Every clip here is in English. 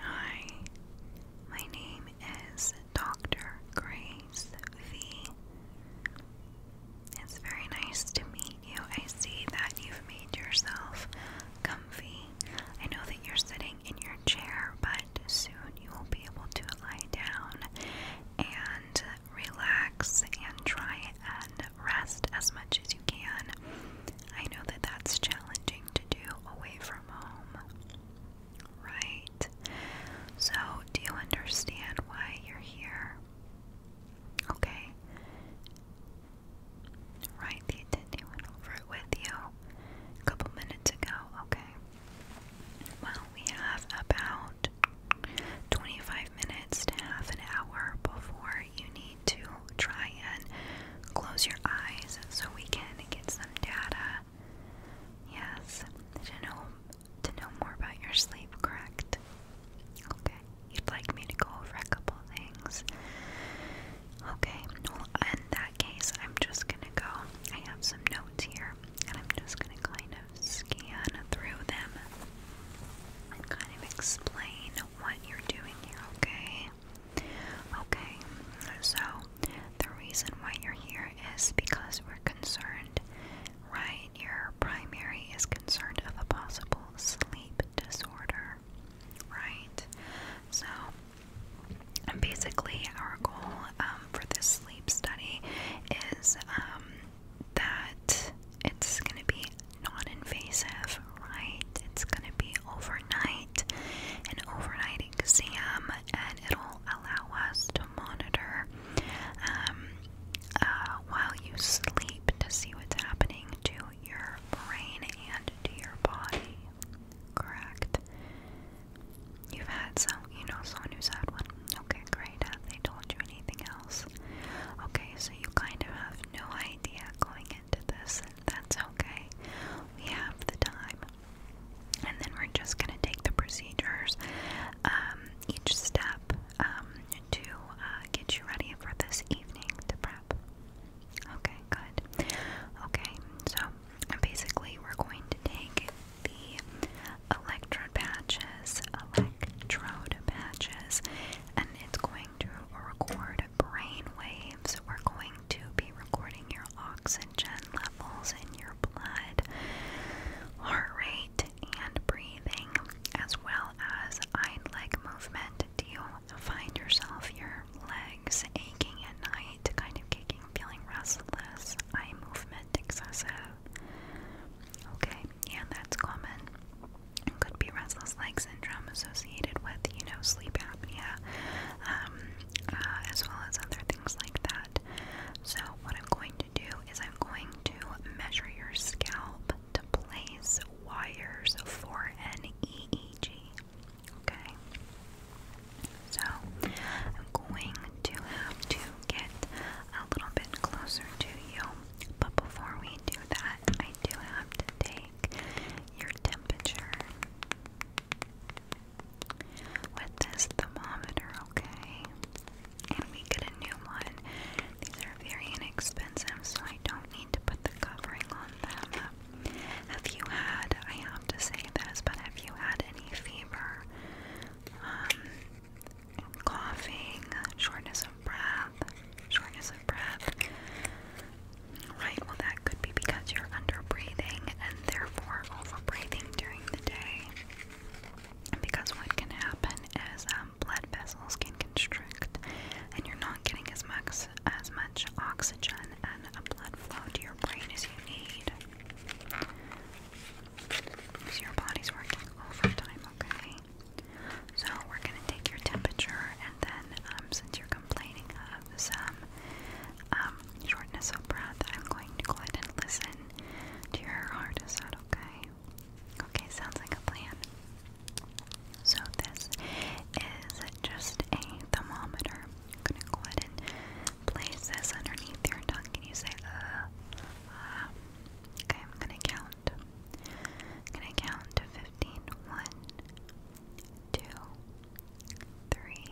Hi, my name is Dr. Grace V. It's very nice to meet you. I see that you've made yourself comfy. I know that you're sitting in your chair, but soon you will be able to lie down and relax and try and rest as much as you can. I know that that's challenging to do away from Right? So, do you understand why you're here? Okay. Right, the attendee went over it with you a couple minutes ago. Okay. Well, we have about 25 minutes to half an hour before you need to try and close your eyes so we can get some data. Yes, to know to know more about your sleep, correct? Okay. You'd like me to go over a couple things. Okay. in that case, I'm just gonna go. I have some notes here, and I'm just gonna kind of scan through them and kind of explain what you're doing here. Okay. Okay, so the reason why you're here is because we're concerned, right? Your primary is concerned of a possible sleep disorder, right? So basically, our goal um, for this sleep study is um, that it's going to be non invasive, right? It's going to be overnight an overnight exam and it'll allow us to monitor um, uh, while you sleep to see what's happening to your brain and to your body. Correct. You've had some, you know, someone who's had one. Okay, great. Have they told you anything else? Okay, so you kind of have no idea going into this that's okay. We have the time. And then we're just going to take the procedures, um, each step, um, to uh, get you ready for this evening to prep. Okay, good. Okay, so basically, we're going to take the electrode patches, electrode patches, and it's going to record brain waves. We're going to be recording your oxygen levels in your blood, heart rate, and breathing, as well as eye leg movement. Do you find yourself your legs aching at night, kind of kicking, feeling restless, eye movement excessive? Okay, yeah, that's common. could be restless leg syndrome associated with, you know, sleep apnea, um, uh, as well as other things like that. So, what I'm going to do is I'm going to measure your scalp to place wires for an EEG. Okay? So, I'm going to have to get a little bit closer to you, but before we do that, I do have to take like your temperature with this thermometer, okay? And we get a new one. These are very inexpensive, so I don't need to put the covering on them. Have you had, I have to say this, but have you had any fever? Um, coughing, shortness of breath, shortness of breath, Right, well, that could be because you're under breathing and therefore over breathing during the day. Because what can happen is um, blood vessels can constrict and you're not getting as much, as much oxygen and blood flow to your brain as you need. So your body's working overtime, okay? So we're going to take your temperature and then um, since you're complaining of some um, shortness of breath, I'm going to go ahead and listen to your heart. Is that okay? Okay, sounds like a plan. So, this is just a thermometer. I'm going to go ahead and place this underneath your tongue. Can you say, uh, uh? Okay, I'm going to count. I'm going to count to 15. 1, two, three,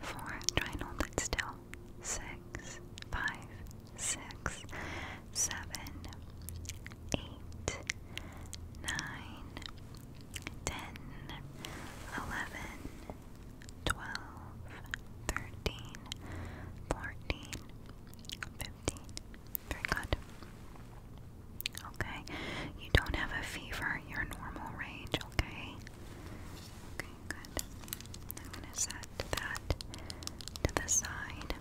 four. Try and hold it still. Six, five, six, seven, eight, nine, ten, eleven, twelve, thirteen, fourteen, fifteen. Very good. Okay. You don't have a fever. Your normal range, okay? Okay, good. I'm going to set that to the side.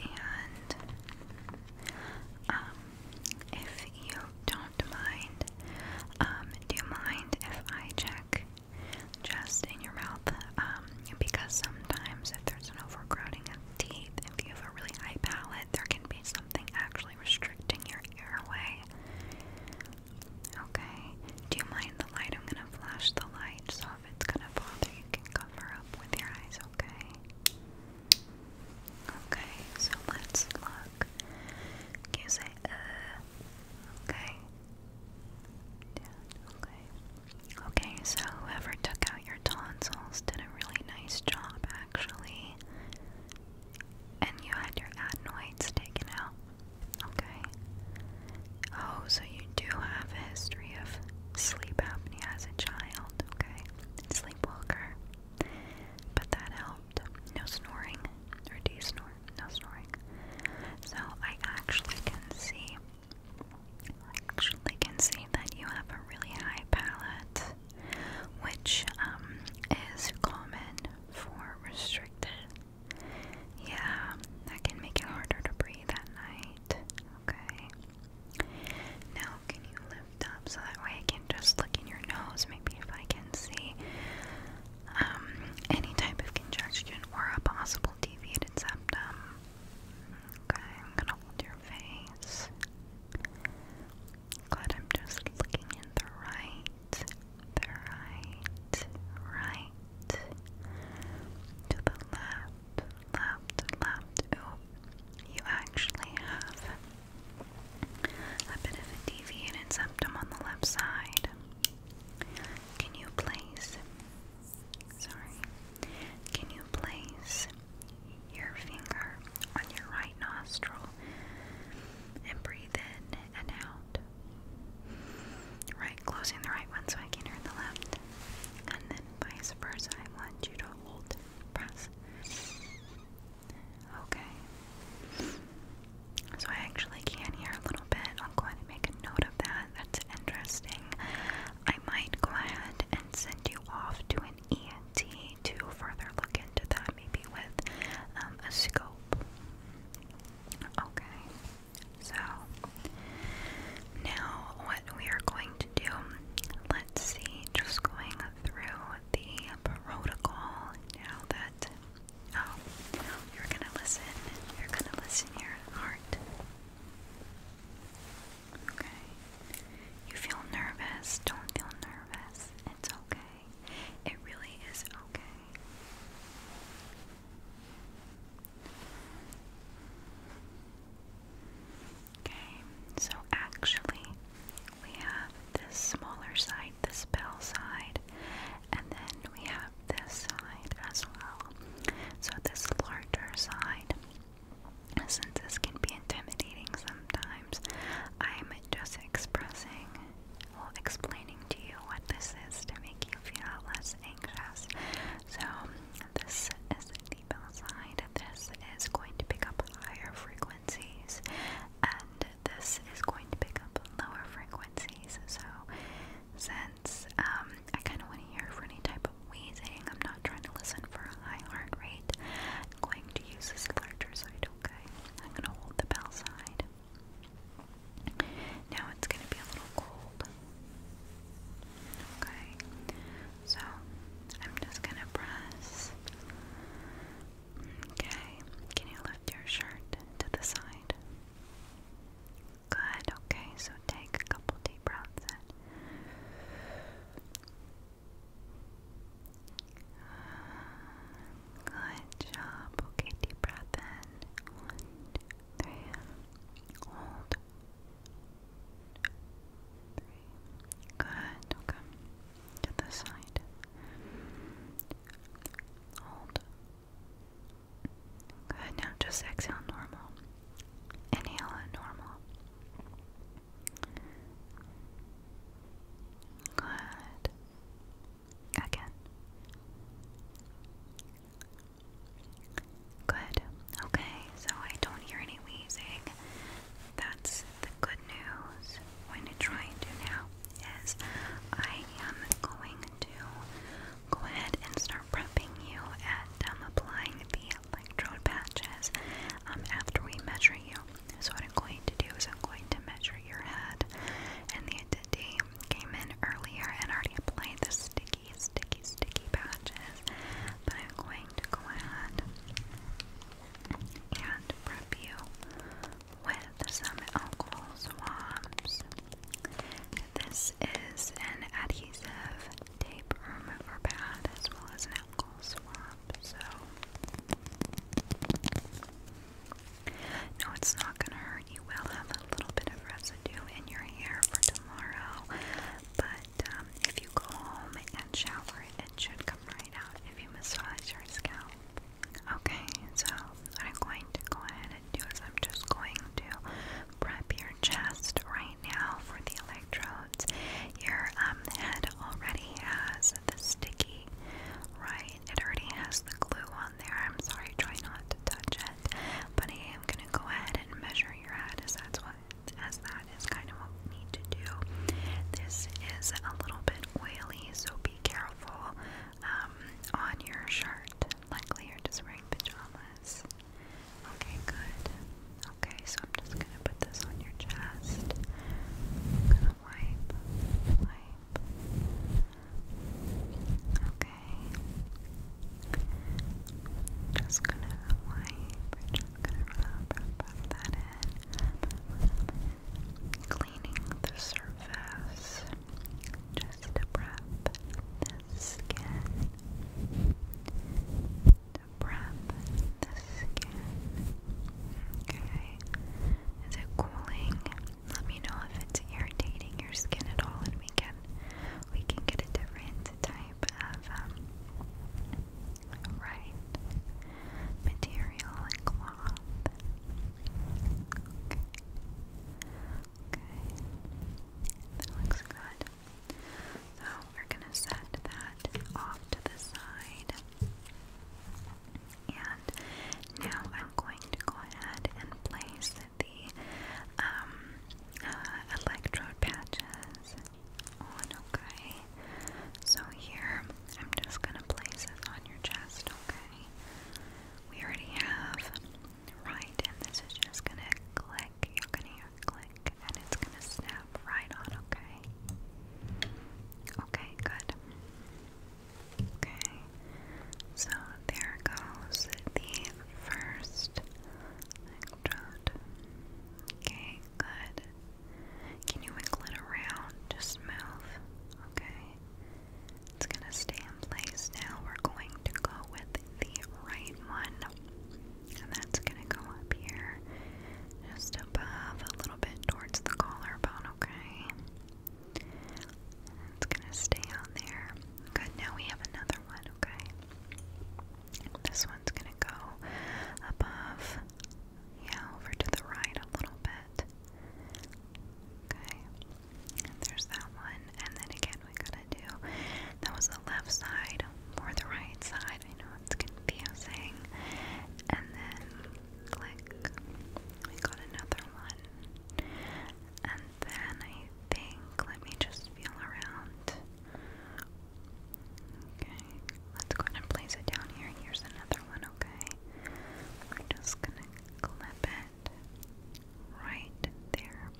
And um, if you don't mind, um, do you mind if I check just in your mouth um, um, because sometimes if there's an overcrowding of teeth, if you have a really high palate, there can be something actually restricting your airway. Okay, do you mind the light? I'm gonna flash the light, so if it's gonna bother you can cover up with your eyes, okay? Okay, so let's look. Can you say uh okay? Down, okay. Okay, so whoever took out your tonsils did a really nice job, actually. And you had your adenoids taken out. Okay. Oh, so you do have a history of sleep apnea as a child, okay? Sleepwalker. But that helped. No snoring. Or do you snore? No snoring. So I actually can see actually can see that you have a really high palate, which um, is common for restricted. Yeah, that can make it harder to breathe at night. Okay. Now, can you lift up so that way I can just look in your nose? Maybe if I can see um, any type of congestion or a possible deviated septum. Okay, I'm gonna hold your face. Glad I'm just looking in the right, the right, right, to the left, left, left. Ooh, you actually have a bit of a deviated septum on the left side. Can you place? Sorry. Can you place your finger on your right nostril and breathe in and out? Right, closing the right one so I can hear the left. And then vice versa. I want you to hold, press. Okay. So I actually can hear a little bit. I'm going to make a note of that. That's interesting. I might go ahead and send you off to an ENT to further look into that, maybe with um, a scope. Okay, so now what we are going to do, let's see, just going through the protocol now that. Oh, you're gonna listen. You're gonna listen your heart. Okay. You feel nervous. Don't feel nervous. It's okay. It really is okay. Okay, so actually, we have this smaller side, this bell side, and then we have this side as well. So this larger side, since this can be intimidating sometimes, I'm just expressing, well, explaining to you what this is to make you feel less anxious. So this is the bell side. This is going to pick up higher frequencies, and this is going to pick up lower frequencies. So since um, I kind of want to hear for any type of wheezing. I'm not trying to listen for a high heart rate. I'm going to use this larger side, okay? I'm going to hold the bell side. Now it's going to be a little cold. Okay, so I'm just going to press. Okay, can you lift your shirt to the side? Good, okay, so take a couple deep breaths Good job. Okay, deep breath in. One, two, three. Hold. Three. Good, okay. To the side. Hold. Good, now just exhale normal. Inhale normal. Good. Again. Good. Okay, so I don't hear any wheezing. That's the good news. What I'm going to do now is I am going to go ahead and start prepping you at um, applying the electrode patches um, after we measure you. So what I'm going to do is I'm going to measure your head and the identity came in earlier and already applied the sticky, sticky, sticky patches. But I'm going to go ahead and prep you with some alcohol swabs. This is an adhesive tape remover pad as well as an alcohol swab, so no, it's not going to hurt. You will have a little bit of residue in your hair for tomorrow, but um, if you go home and shower, it should come right out if you massage your scalp. Okay, so what I'm going to go ahead and do is I'm just going to prep your just right now for the electrodes. Your um, head already has the sticky, right? It already has the glue on there. I'm sorry, try not to touch it. But I am going to go ahead and measure your head as that's what as that is kind of what we need to do. This is a little bit oily, so be careful um, on your shirt. Likely you're just wearing pajamas. Yes. Okay, good. Okay, so I'm just gonna put this on your chest. I'm gonna wipe, wipe. Okay. Just gonna wipe. just gonna rub, that in. Cleaning the surface just to the skin. To prep the skin. Okay. Is it cooling? Let me know if it's irritating your skin at all and we can we can get a different type of um, right material and cloth. Okay, that looks good. So we're gonna set that off to the side. And now I'm going to go ahead and place the um, uh, electrode patches on, okay? So here, I'm just gonna place on your chest, okay? We already have right, and this is just gonna click. You're gonna hear a click, and it's gonna snap right on. Okay. Okay. Good. Okay. So there goes the first electrode. Okay. Good. Can you wiggle it around? Just move. Okay. It's gonna stay in place now. We're going to go with the right one. And that's gonna go up here, just above, a little bit towards the collarbone, okay? it's gonna stay on there. Good, now we have another one, okay? This one's gonna go above, yeah, over to the right a little bit. Okay, there's that one, and then again we gotta do that was the left side or the right side. I know it's confusing. And then click. We got another one. And then I think let me just feel around. Okay. Let's go ahead and place it down here. Here's another one, okay? We're just gonna clip it. Right there.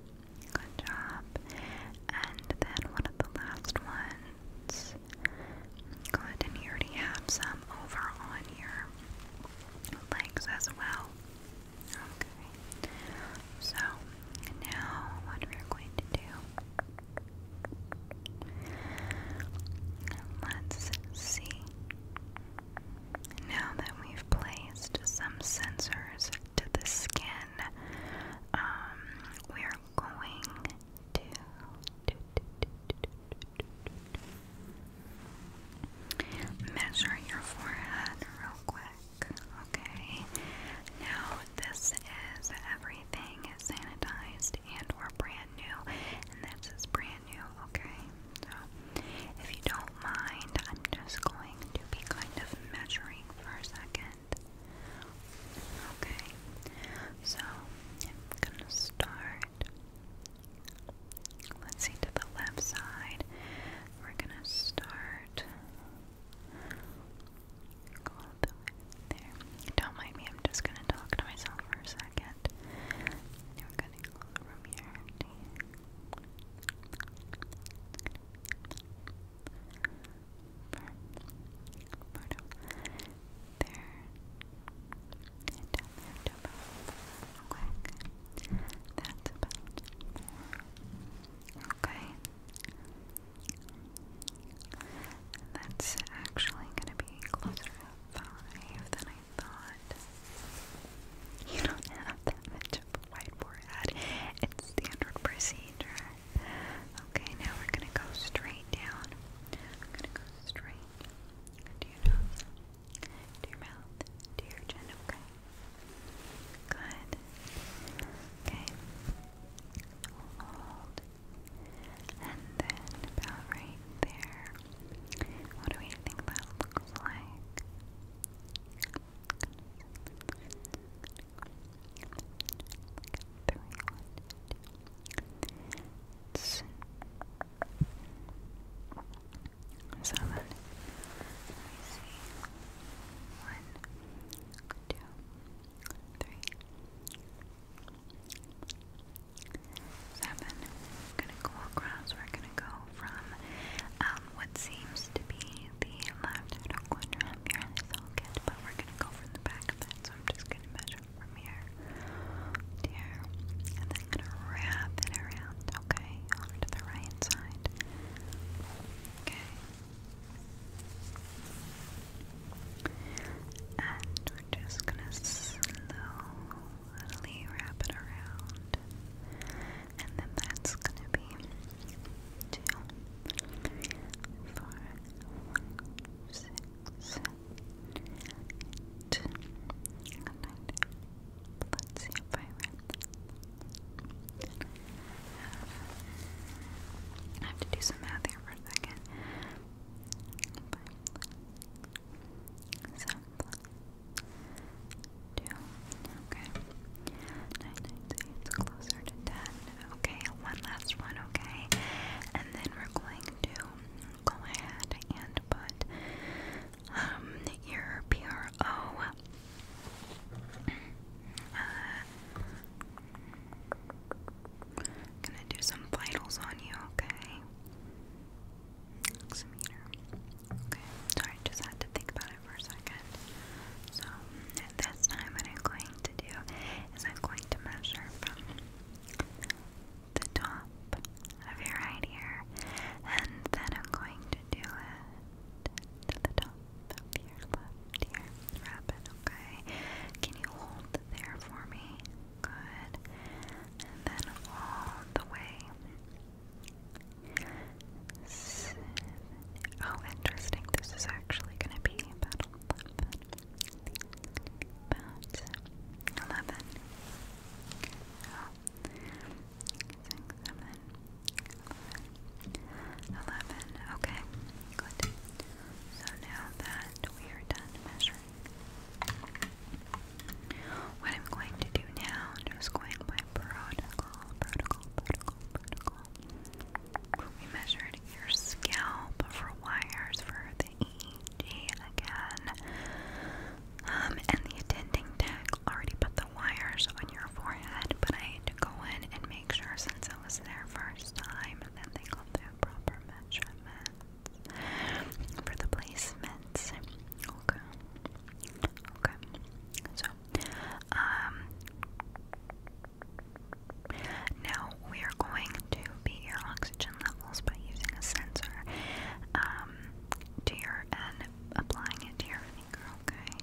Good job. And then one of the last ones. Good, and you already have some over on your legs as well. Okay. So now what we're going to do. Let's see. Now that we've placed some sensors to the skin, um, we are going to. Measure your forehead real quick, okay? Now, this is everything sanitized and we're brand new, and this is brand new, okay? So, if you don't mind, I'm just going to be kind of measuring for a second. Okay, so I'm gonna start. Let's see to the left side. We're gonna start. Don't mind me, I'm just gonna talk to myself for a second. We're gonna go from here. That's about four. Okay. That's actually going to be closer to five than I you don't have that much of a white forehead. It's standard procedure. Okay, now we're gonna go straight down. I'm gonna go straight to your nose, to your mouth, to your chin. Okay. Good. Okay. Hold. And then about right there. What do we think that looks like? Three, one, two, seven. Let me see. One, two, three. Seven. We're gonna go across. We're gonna go from um, what seems to be the left outer corner of your eyes. but we're gonna go from the back of that, so I'm just gonna measure from here to here, and then gonna wrap it around, okay, onto the right side. Okay. And we're just gonna slowly wrap it around and then that's gonna be two, three, four, five, six, seven, eight, nine. Let's see if I have to do some math here for a second. Five, Two. Okay. Nine, nine, eight. Closer to ten. Okay. One last one. Okay. And then we're going to go ahead and put um your PRO. gonna do some vitals on you, okay? Oximeter. Okay, just had to think about it for a second. So, this time, what I'm going to do is I'm going to measure from the top of your right ear, and then I'm going to do it to the top of your left ear. Rapid, okay? Can you hold there for me? Good. And then all the way Seven. Oh, interesting. This is actually going to be about 11. Okay, good. So now that we are done measuring, what I'm going to do now, is am just going by protocol, protocol, protocol, protocol. We measured your scalp for wires for the EEG again. Um, and the attending tech already put the wires on your forehead, but I had to go in and make sure since it was their first time that they got the proper measurements for the placements. Okay. Okay. So, um, now we are going to beat your oxygen levels by using a sensor um, to your and applying it to your finger. Okay.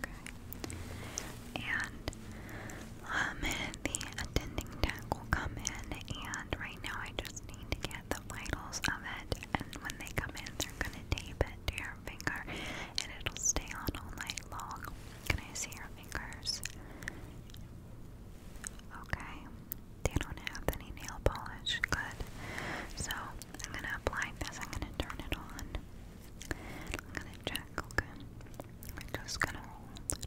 Okay. And um, the attending tech will come in, and right now I just need to get the vitals of it, and when they come in, they're gonna tape it to your finger, and it'll stay on all night long. Can I see your fingers? Okay, they don't have any nail polish. Good. So I'm gonna apply this. I'm gonna turn it on. I'm gonna check. Okay, we just gonna hold.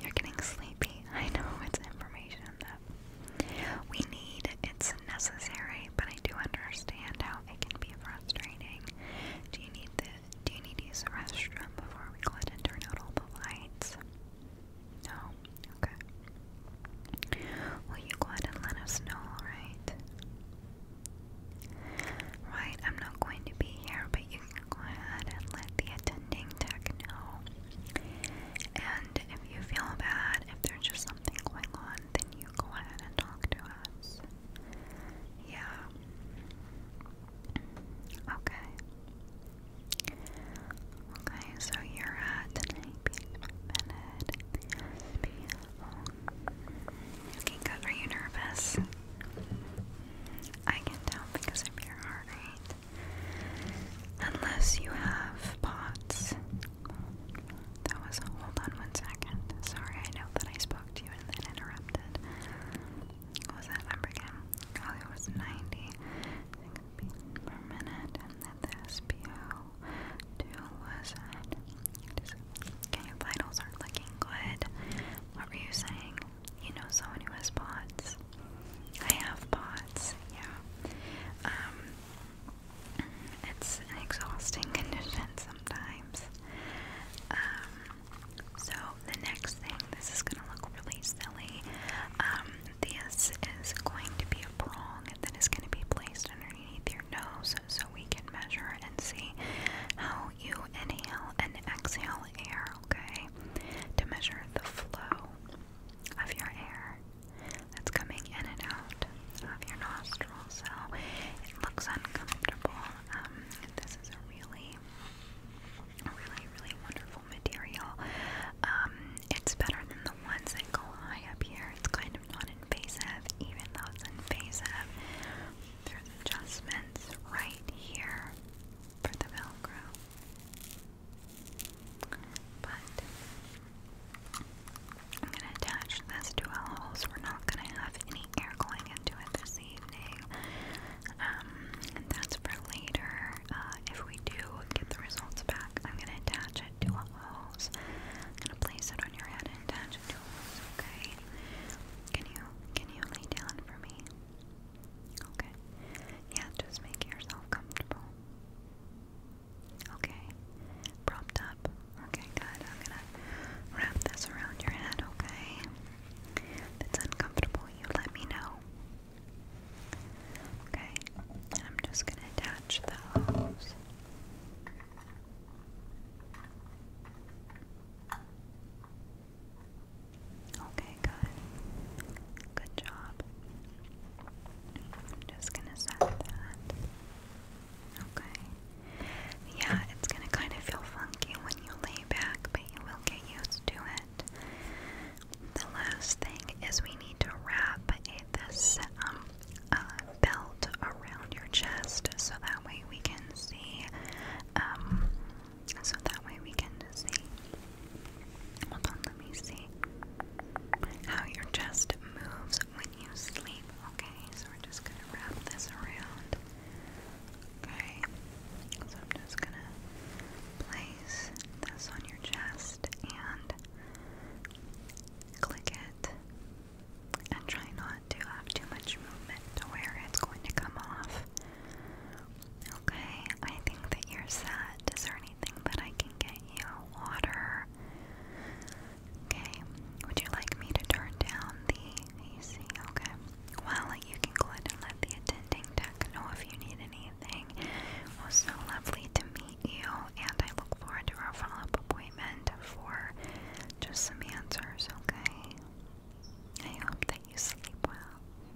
You're getting sleepy. I know it's information that we need, it's necessary, but I do understand how it can be frustrating. Do you need this? do you need to use the restroom before we go ahead and turn out all the lights? No? Okay. Will you go ahead and let us know, alright? Right, I'm not going to be here, but you can go ahead and let the attending tech know and if you feel bad, if there's just something going on, then you go ahead and talk to us. Yeah. Okay. Okay, so you're at tonight being minute. Okay, good. Are you nervous? I can tell because of your heart Unless you have pots. That was hold on one second. Sorry, I know that I spoke to you and then interrupted. What was that number again? Oh, it was 90 per minute, and then the SPO2 was at. your vitals are looking good. What were you saying? You know someone who has POTS. I have pots, yeah. Um, it's an exhausting condition sometimes. Um, so the next thing, this is gonna look really silly. Um, this is going to be a prong that is gonna be placed underneath your nose so we can measure and see how you inhale and exhale air, okay? To measure the flow of your air that's coming in and out of your nostrils. So it looks uncomfortable. Um, this is a really, really, really wonderful material. Um, it's better than the ones that go high up here. It's kind of non invasive, even though it's invasive. There's adjustments right here for the Velcro. I'm gonna attach this to a hose. We're not gonna have any air going into it this evening. and um, that's for later. Uh, if we do get the results back, I'm gonna attach it to a hose. I'm gonna place it on your head and attach it to a hose. Okay? Can you can you lay down for me? Okay. Yeah, just make yourself comfortable. Okay. Propped up. Okay, good. I'm gonna wrap this around your head, okay? it's uncomfortable, you let me know. Okay. I'm just gonna attach those. Okay, good. Good job. I'm just gonna set that. Okay. Yeah, it's gonna kind of feel funky when you lay back, but you will get used to it. The last thing is we need to wrap this um, belt around your chest so that way we can see um, so that way we can see. Hold on, let me see how your chest moves when you sleep. Okay, so we're just gonna wrap this around. Okay, so I'm just gonna place this on your chest and click it. And try not to have too much movement to where it's going to come off Okay, I think that you're set. Is there anything that I can get you? Water. Okay, would you like me to turn down the AC? Okay. Well, you can go ahead and let the attending tech know if you need anything. It was so lovely to meet you, and I look forward to our follow up appointment for just some answers, okay? I hope that you sleep well.